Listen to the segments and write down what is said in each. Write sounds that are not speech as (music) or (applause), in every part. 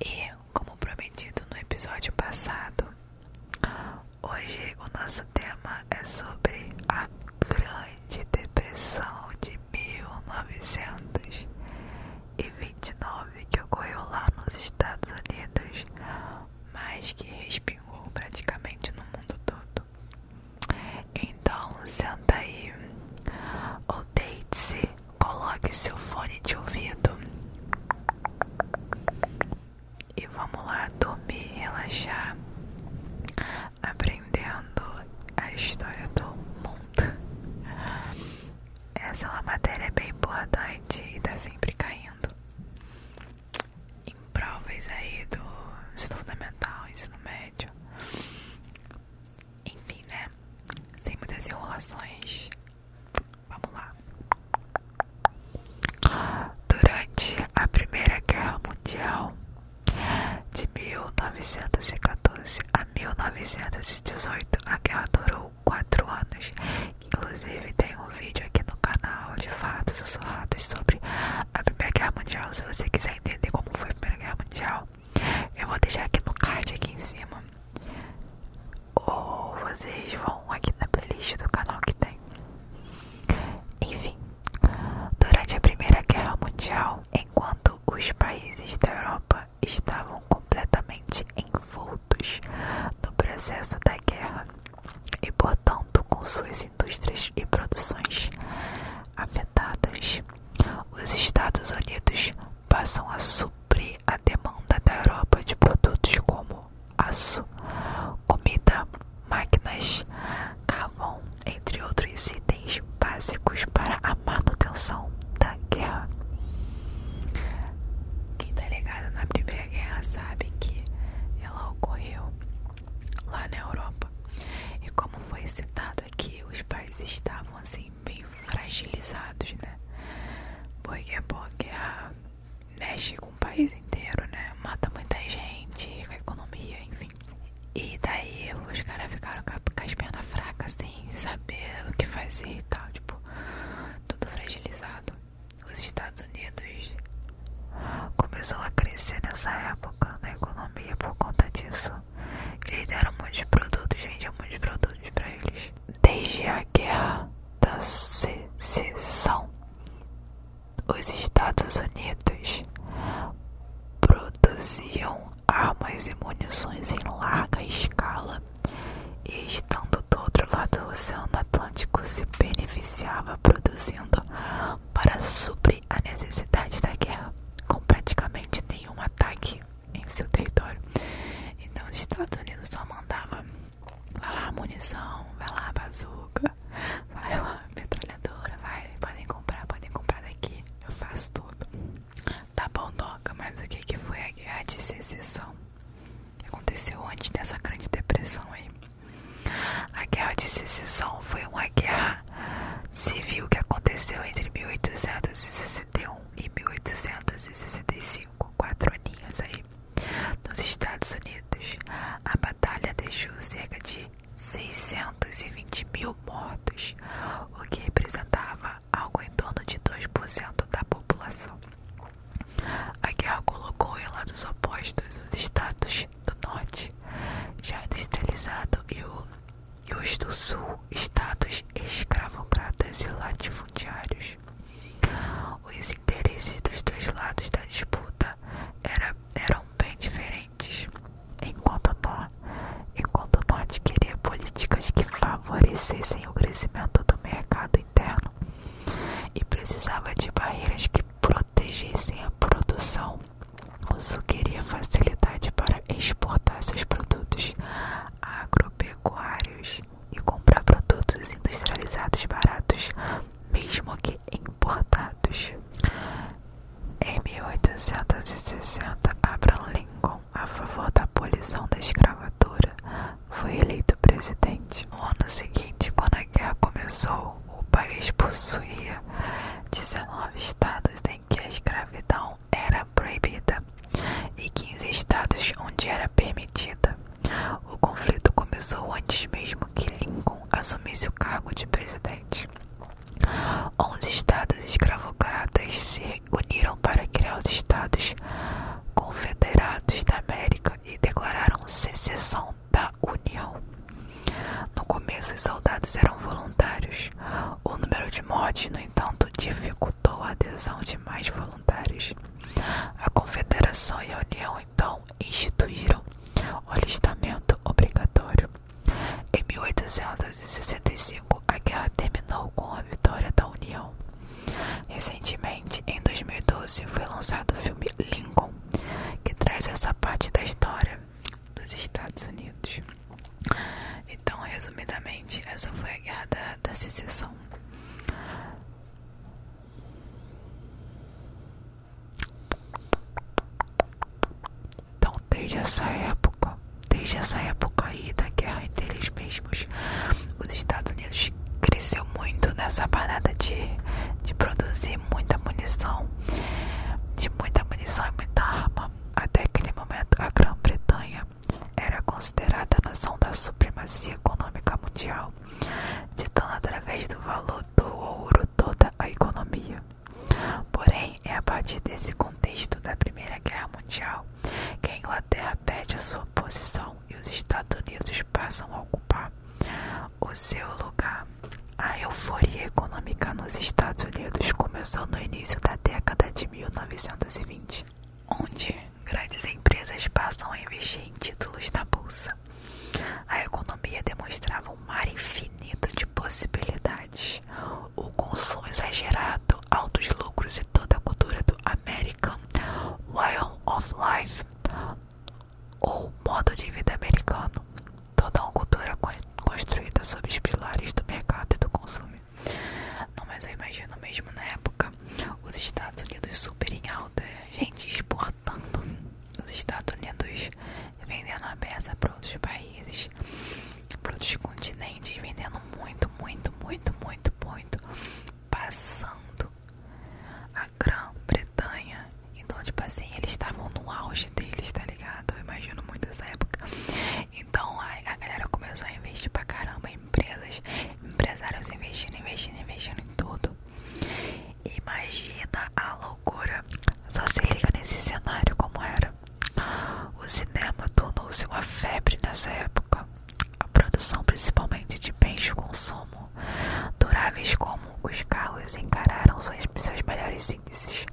e, como prometido no episódio passado, hoje o nosso tema é sobre a Grande Depressão de 1929 que ocorreu lá nos Estados Unidos, mas que respingou praticamente no mundo todo. Então, senta aí ou deite-se coloque seu fone de ouvido e vamos lá dormir, relaxar, aprendendo a história do mundo. Essa é uma matéria bem importante e tá sempre caindo em provas aí do ensino fundamental, ensino médio. Enfim, né? Sem muitas enrolações. Vamos lá. Durante a Primeira Guerra Mundial, de 1914 a 1918, a guerra durou 4 anos. Inclusive, tem um vídeo aqui no canal de fatos sussurrados sobre a Primeira Guerra Mundial. Se você quiser entender como foi a Primeira Guerra Mundial, eu vou deixar aqui no card aqui em cima. Ou vocês vão aqui na playlist do canal que tem. Enfim, durante a Primeira Guerra Mundial, enquanto os países da Europa estavam completamente envoltos no processo da guerra e, portanto, com suas indústrias e produções afetadas, os Estados Unidos passam a suprir a demanda da Europa de produtos como aço, comida, máquinas, carvão, entre outros itens básicos para a manutenção da guerra. Quem tá ligado na Primeira Guerra sabe que ela ocorreu lá na Europa. E como foi citado aqui, os países estavam assim bem fragilizados, né? Porque pô, guerra mexe com o país inteiro, né? Mata muita gente, com a economia, enfim. E daí os caras ficaram com as pernas fracas, sem saber o que fazer e tal, tipo, tudo fragilizado. Os Estados Unidos começou a crescer nessa época na economia por conta disso. Eles deram muitos produtos, vendiam muitos produtos para eles. Desde a guerra da secessão, os Estados Unidos produziam armas e munições em larga escala e estando do outro lado do Oceano Atlântico se beneficiava produzindo para suprir a necessidade da guerra com praticamente nenhum ataque em seu território. Então os Estados Unidos só mandava vai lá munição, vai lá bazuca, vai lá metralhadora, vai, podem comprar, podem comprar daqui, eu faço tudo. Tá bom, toca, mas o que que foi a guerra de secessão? Que aconteceu antes dessa grande depressão aí. A guerra de secessão foi uma guerra civil que aconteceu entre 1861 em 1865, quatro aninhos aí, nos Estados Unidos. A batalha deixou cerca de 620 mil mortos, o que representava algo em torno de 2% da população. A guerra colocou em lados opostos os estados do norte, já industrializado, e o e os do Sul, estados escravocratas e latifundiários. Os interesses dos dois lados da disputa eram bem diferentes. Enquanto o, enquanto o Norte queria políticas que favorecessem o crescimento do mercado interno e precisava de barreiras que protegessem a produção, o Sul queria facilidade para exportar seus produtos agropecuários e comprar produtos industrializados baratos, mesmo que importados. Em 1860, Abraham Lincoln, a favor da abolição da escravatura, foi eleito presidente. No ano seguinte, quando a guerra começou, o país possuía 19 estados em que a escravidão era proibida e 15 estados onde era permitida. O conflito começou antes mesmo que Lincoln assumisse o cargo de presidente. Onze estados escravocratas se uniram para criar os Estados Confederados da América e declararam secessão da União. No começo, os soldados eram voluntários. O número de mortes no entanto, dificultou a adesão de mais voluntários. A Confederação e a União, então, instituíram o alistamento obrigatório. Em 1865, a guerra terminou com a vitória da União. Recentemente, em 2012, foi lançado o filme Lincoln, que traz essa parte da história dos Estados Unidos. Então, resumidamente, essa foi a guerra da, secessão. Então, desde essa época, desde essa época aí da guerra entre eles mesmos, os Estados Unidos cresceu muito nessa parada de, de produzir muita munição, de muita munição e muita arma. Até aquele momento, a Grã-Bretanha era considerada a nação da supremacia econômica mundial, ditando através do valor do ouro toda a economia. Porém, é a partir desse contexto da Primeira Guerra Mundial que a Inglaterra perde a sua posição e os Estados Unidos passam a ocupar o seu lugar. A euforia econômica nos Estados Unidos começou no início da década de 1920, onde grandes empresas passam a investir em títulos da bolsa. A economia demonstrava um mar infinito de possibilidades, o consumo exagerado, altos lucros e toda a cultura do American Way of Life, ou modo de vida americano, toda uma cultura construída sob os pilares do mercado e do consumo. Não, mas eu imagino mesmo na época os Estados Unidos super em alta, gente exportando, os Estados Unidos vendendo a peça para outros países, para outros continentes, vendendo muito, muito, muito, muito, muito, passando a Grã-Bretanha. Então, tipo assim, eles estavam no auge deles, tá ligado? Eu imagino muito essa época. Então a, galera começou a investir pra caramba em empresas, empresários investindo, investindo, investindo em tudo. Imagina a loucura. Só se liga nesse cenário como era. O cinema tornou-se uma febre nessa época. A produção principalmente de bens de consumo duráveis como os carros encararam seus, seus melhores índices.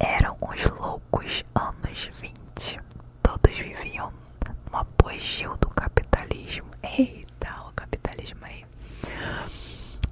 Eram os loucos anos 20 Todos viviam no apogeu do capitalismo. Eita, o capitalismo aí.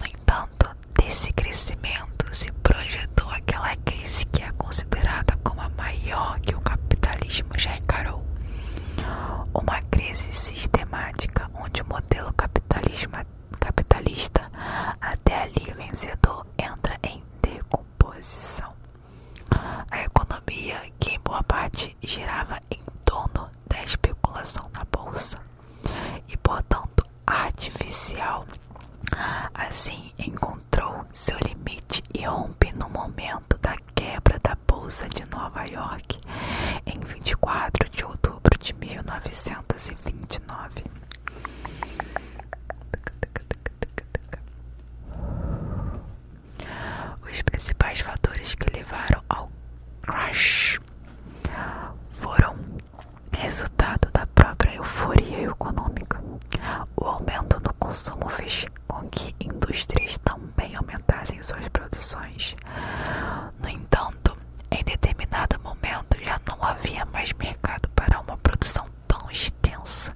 No entanto, desse crescimento se projetou aquela crise que é considerada como a maior que o capitalismo já encarou. Uma crise sistemática onde o modelo capitalismo, capitalista até ali vencedor entra em composição. A economia, que em boa parte girava em torno da especulação na bolsa e, portanto, artificial, assim encontrou seu limite e rompe no momento da quebra da bolsa de Nova York em 24 de outubro de 1929. Os principais fatores que levaram ao crash foram resultado da própria euforia econômica. O aumento no consumo fez com que indústrias também aumentassem suas produções. No entanto, em determinado momento já não havia mais mercado para uma produção tão extensa,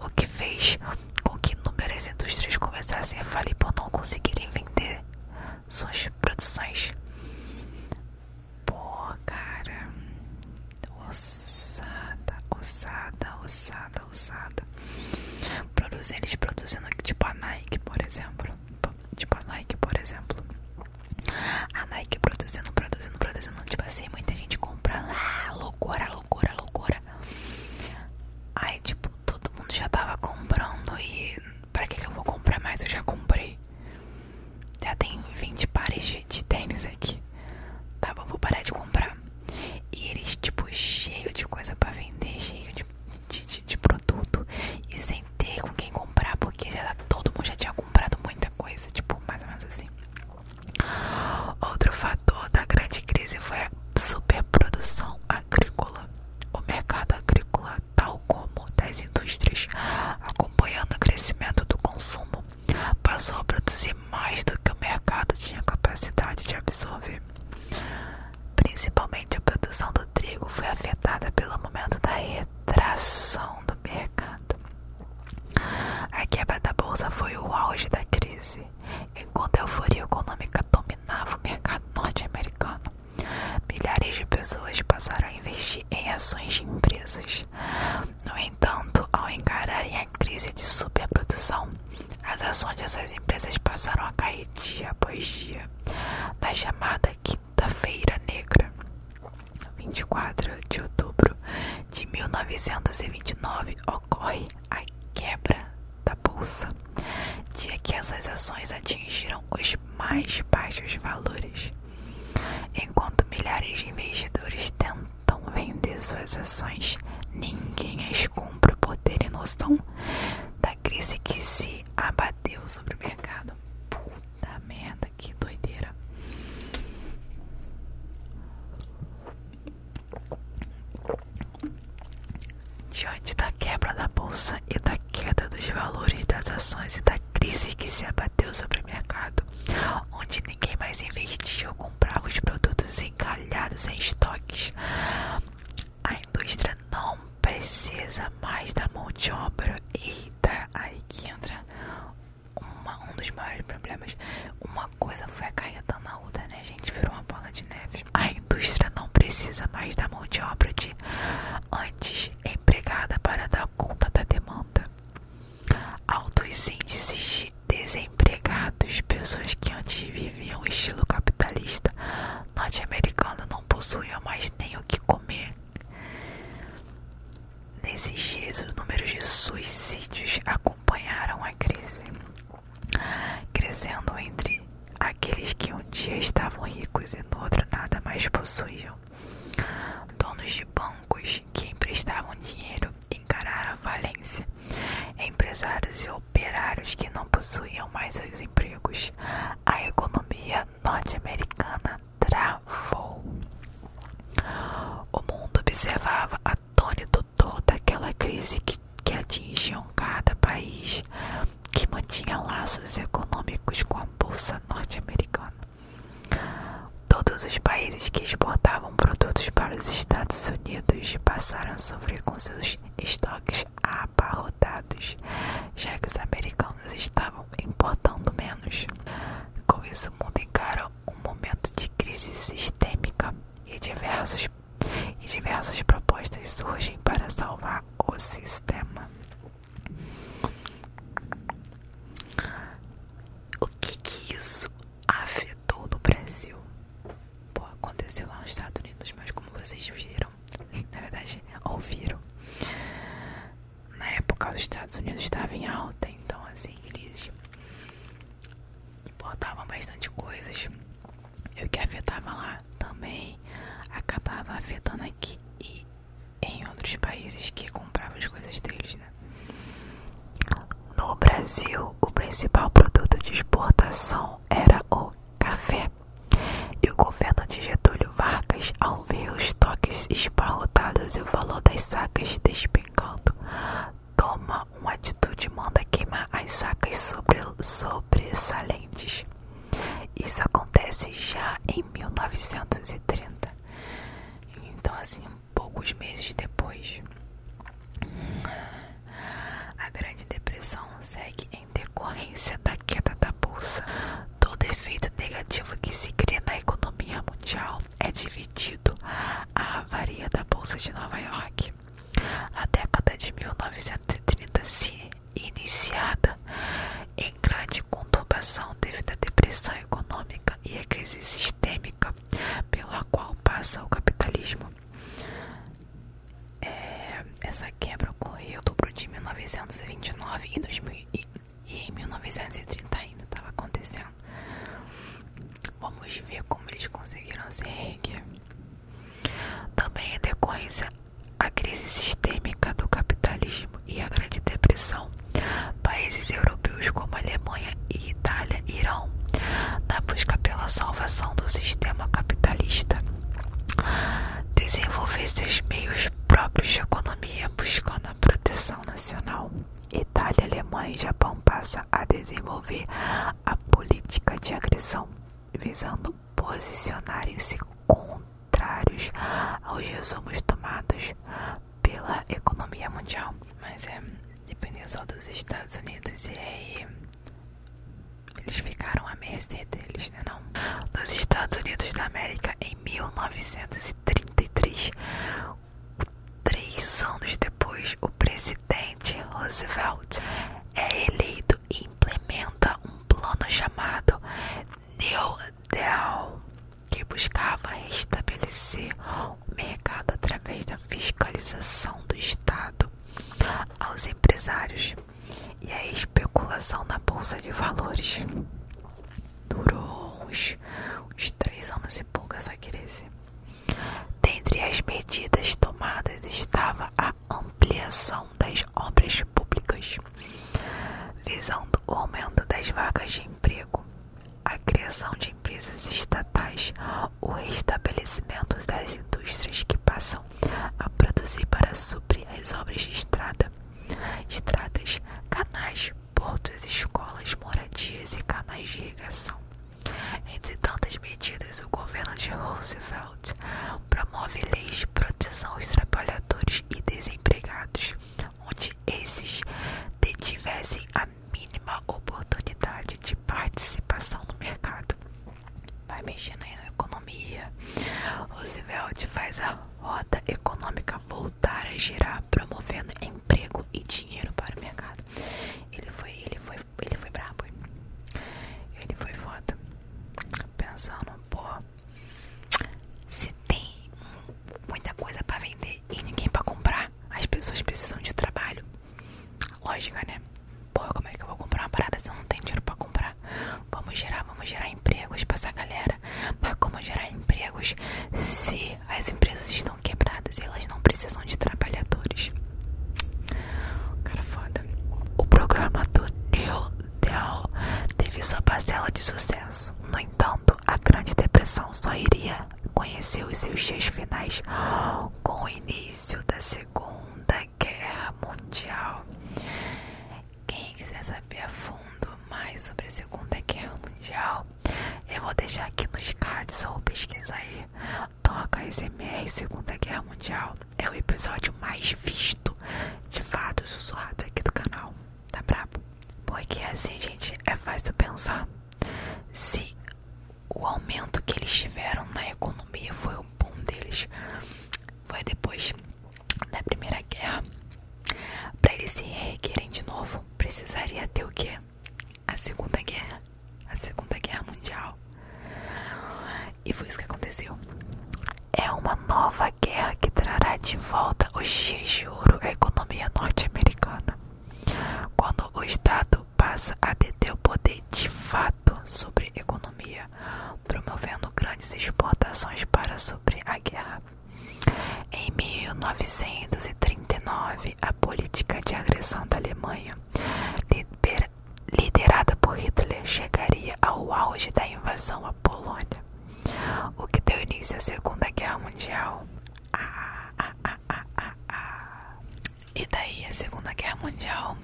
o que fez com que inúmeras indústrias começassem a falir por não conseguirem vender suas produções. porra cara, ossada, ossada, ossada, ossada. Produz, eles produzindo tipo a Nike, por exemplo. Tipo a Nike, por exemplo. A ah, Nike produzindo, produzindo, produzindo, tipo assim, muita gente comprando, ah, loucura, loucura, loucura. Aí, tipo, todo mundo já tava comprando e pra que que eu vou comprar mais? Eu já comprei. Já tem 20 pares de, tênis aqui. Tá bom, vou parar de comprar. E eles, tipo, cheio de coisa pra vender, cheio de, de, de produto. E sem ter com quem comprar, porque já tá, todo mundo já tinha comprado muita coisa. Tipo, mais ou menos assim. Outro fator da grande crise foi a superprodução agrícola. O mercado agrícola, tal como das indústrias, acompanhando o crescimento do consumo, passou a produzir mais do que o mercado tinha capacidade de absorver. Principalmente a produção do trigo foi afetada pelo momento da retração do mercado. A quebra da bolsa foi o auge da crise, enquanto a euforia econômica dominava o mercado norte-americano. Milhares de pessoas passaram a investir em ações de empresas. No entanto, ao encararem a crise de superprodução, as ações dessas empresas passaram a cair dia após dia, na chamada Quinta-feira Negra. 24 de outubro de 1929 ocorre a quebra da bolsa, dia que essas ações atingiram os mais baixos valores, enquanto milhares de investidores tentam vender suas ações, ninguém as compra por terem noção da crise que se abateu sobre o mercado da tá merda, que doideira. Diante da quebra da bolsa e da queda dos valores das ações e da crise que se abateu sobre o mercado, onde ninguém mais investiu ou comprava os produtos encalhados em estoques, a indústria não precisa mais da mão de obra e da aí que entra um dos maiores problemas. Uma coisa foi acarretando na outra, né, gente? Virou uma bola de neve. A indústria não precisa mais da mão de obra de antes empregada para dar conta da demanda. Altos índices de desempregados, pessoas que antes viviam estilo capitalista norte-americano não possuíam mais nem o que comer. Nesses dias, os números de suicídios acompanharam a crise, crescendo entre aqueles que um dia estavam ricos e no outro nada mais possuíam. Donos de bancos que emprestavam dinheiro encararam a falência, empresários e operários que não possuíam mais seus empregos. A economia norte-americana travou. O mundo observava atônito toda aquela crise que, que atingiam cada país que mantinha laços econômicos com a Bolsa Norte-Americana. Todos os países que exportavam produtos para os Estados Unidos passaram a sofrer com seus estoques abarrotados, já que os americanos estavam importando menos. Com isso, o mundo encara um momento de crise sistêmica e, diversos, e diversas propostas surgem para salvar o sistema. O que que isso afetou no Brasil? Pô, aconteceu lá nos Estados Unidos, mas como vocês viram, na verdade ouviram, na época os Estados Unidos estavam em alta, então assim, eles importavam bastante coisas. E o que afetava lá também acabava afetando aqui e em outros países que compravam as coisas deles, né? No Brasil, o principal produto de exportação era o café. E o governo de Getúlio Vargas, ao ver os estoques esparrotados e o valor das as sacas despencando. Toma uma atitude e manda queimar as sacas sobre, sobressalentes. Isso acontece já em 1930. Então, assim, poucos meses depois, a Grande Depressão segue em decorrência da queda da bolsa. Todo efeito negativo que se cria na economia mundial é dividido a avaria da Bolsa de Nova York. A década de 1930 se iniciada em grande conturbação devido à depressão econômica e à crise sistêmica pela qual passa o capitalismo. É, essa quebra ocorreu em outubro de 1929 e 2000. E em 1930 ainda estava acontecendo. Vamos ver como eles conseguiram se reerguer. Também em decorrência à crise sistêmica do capitalismo e à Grande Depressão, países europeus como Alemanha e Itália irão na busca pela salvação do sistema capitalista desenvolver seus meios próprios de economia, buscando a proteção nacional. Itália, Alemanha e Japão passa a desenvolver a política de agressão, visando posicionarem-se contrários aos resumos tomados pela economia mundial. Mas é, dependendo só dos Estados Unidos e aí eles ficaram à mercê deles, né não? Dos Estados Unidos da América em 1950 1933, três anos depois, o presidente Roosevelt é eleito e implementa um plano chamado New Deal, que buscava restabelecer o mercado através da fiscalização do Estado aos empresários e a especulação na bolsa de valores durou uns, uns três anos e pouco essa crise. Dentre as medidas tomadas estava a ampliação das obras públicas, visando o aumento das vagas de emprego, a criação de empresas estatais, o restabelecimento das indústrias que passam a produzir para suprir as obras de estrada, estradas, canais, portos, escolas, moradias e canais de irrigação. Entre tantas medidas, o governo de Roosevelt promove leis de proteção aos trabalhadores e desempregados, onde esses detivessem a mínima oportunidade de participação no mercado. Vai mexendo aí na economia. Roosevelt faz a rota econômica voltar a girar, promovendo emprego e dinheiro para o mercado. Ele foi, ele foi, ele foi brabo. Ele foi foda. Pensando, pô, se tem muita coisa para vender e ninguém para comprar, as pessoas precisam de trabalho. Lógica, né? Pô, como é que eu vou comprar uma parada se eu não tenho dinheiro para comprar? Vamos gerar, vamos gerar empregos para essa galera. Mas como gerar empregos se as empresas estão quebradas e elas não precisam de trabalhadores. Cara foda. O programa do Neil Dell teve sua parcela de sucesso. No entanto, a Grande Depressão só iria conhecer os seus dias finais com o início da Segunda Guerra Mundial. Quem quiser saber a fundo mais sobre a Segunda Guerra Mundial, eu vou deixar aqui nos cards ou pesquisar aí. Toca SMR Segunda Guerra Mundial. É o episódio mais visto de fatos sussurrados aqui do canal. Tá brabo? Porque assim, gente, é fácil pensar. Se o aumento que eles tiveram na economia foi o bom deles, foi depois da Primeira Guerra, para eles se reerguerem de novo, precisaria ter o quê? A Segunda Guerra, a Segunda Guerra Mundial. E foi isso que aconteceu. É uma nova guerra que trará de volta o X de ouro à economia norte-americana. Quando o Estado passa a deter o poder de fato sobre a economia, promovendo grandes exportações para suprir a guerra. Em 1939, a política de agressão da Alemanha, liderada por Hitler, chegaria ao auge da invasão à Polônia, o que deu início à Segunda Guerra Mundial. Ah, ah, ah, e daí a Segunda Guerra Mundial,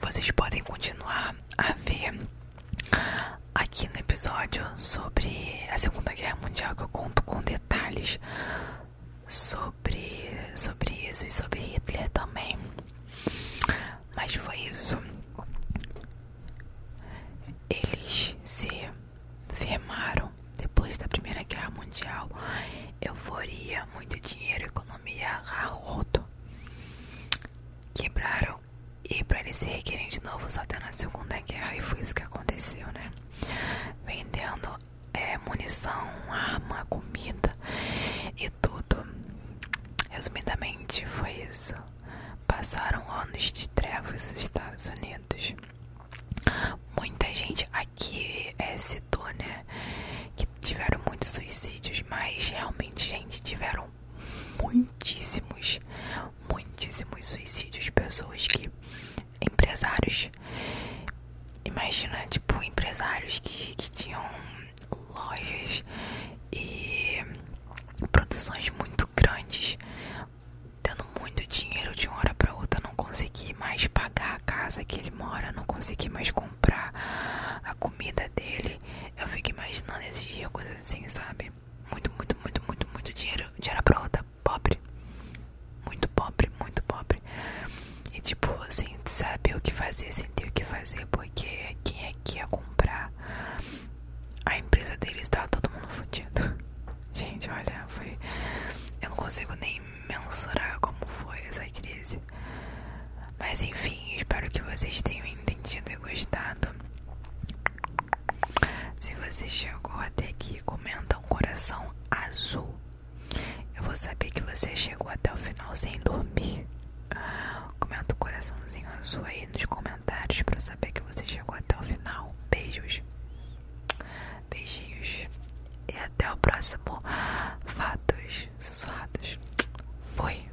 vocês podem continuar a ver Aqui no episódio sobre a Segunda Guerra Mundial, que eu conto com detalhes sobre, sobre isso e sobre Hitler também. Mas foi isso. Eles se firmaram depois da Primeira Guerra Mundial. Euforia, muito dinheiro, economia, arroto. Quebraram e para eles se requerem de novo só até na segunda guerra e foi isso que aconteceu, né? Vendendo é, munição, arma, comida e tudo. Resumidamente foi isso. Passaram anos de trevas nos Estados Unidos. Muita gente aqui é, citou, né? Que tiveram muitos suicídios, mas realmente, gente, tiveram muitíssimos, muitíssimos suicídios, pessoas que empresários, imagina tipo empresários que, que tinham lojas e produções muito grandes, tendo muito dinheiro de uma hora para outra, não consegui mais pagar a casa que ele mora, não consegui mais comprar a comida dele. Eu fico imaginando esses dias coisas assim, sabe? muito, muito, muito, muito, muito dinheiro de era brota, pobre, muito pobre, muito pobre. E tipo, assim, saber o que fazer, sem ter o que fazer, porque quem é que ia comprar? A empresa deles tava todo mundo fodido. (laughs) Gente, olha, foi. Eu não consigo nem mensurar como foi essa crise. Mas enfim, espero que vocês tenham entendido e gostado. Se você chegou até aqui, comenta um coração azul. Eu vou saber que você chegou até o final sem dormir. Comenta um coraçãozinho azul aí nos comentários para eu saber que você chegou até o final. Beijos. Beijinhos. E até o próximo Fatos Sussurrados. fui.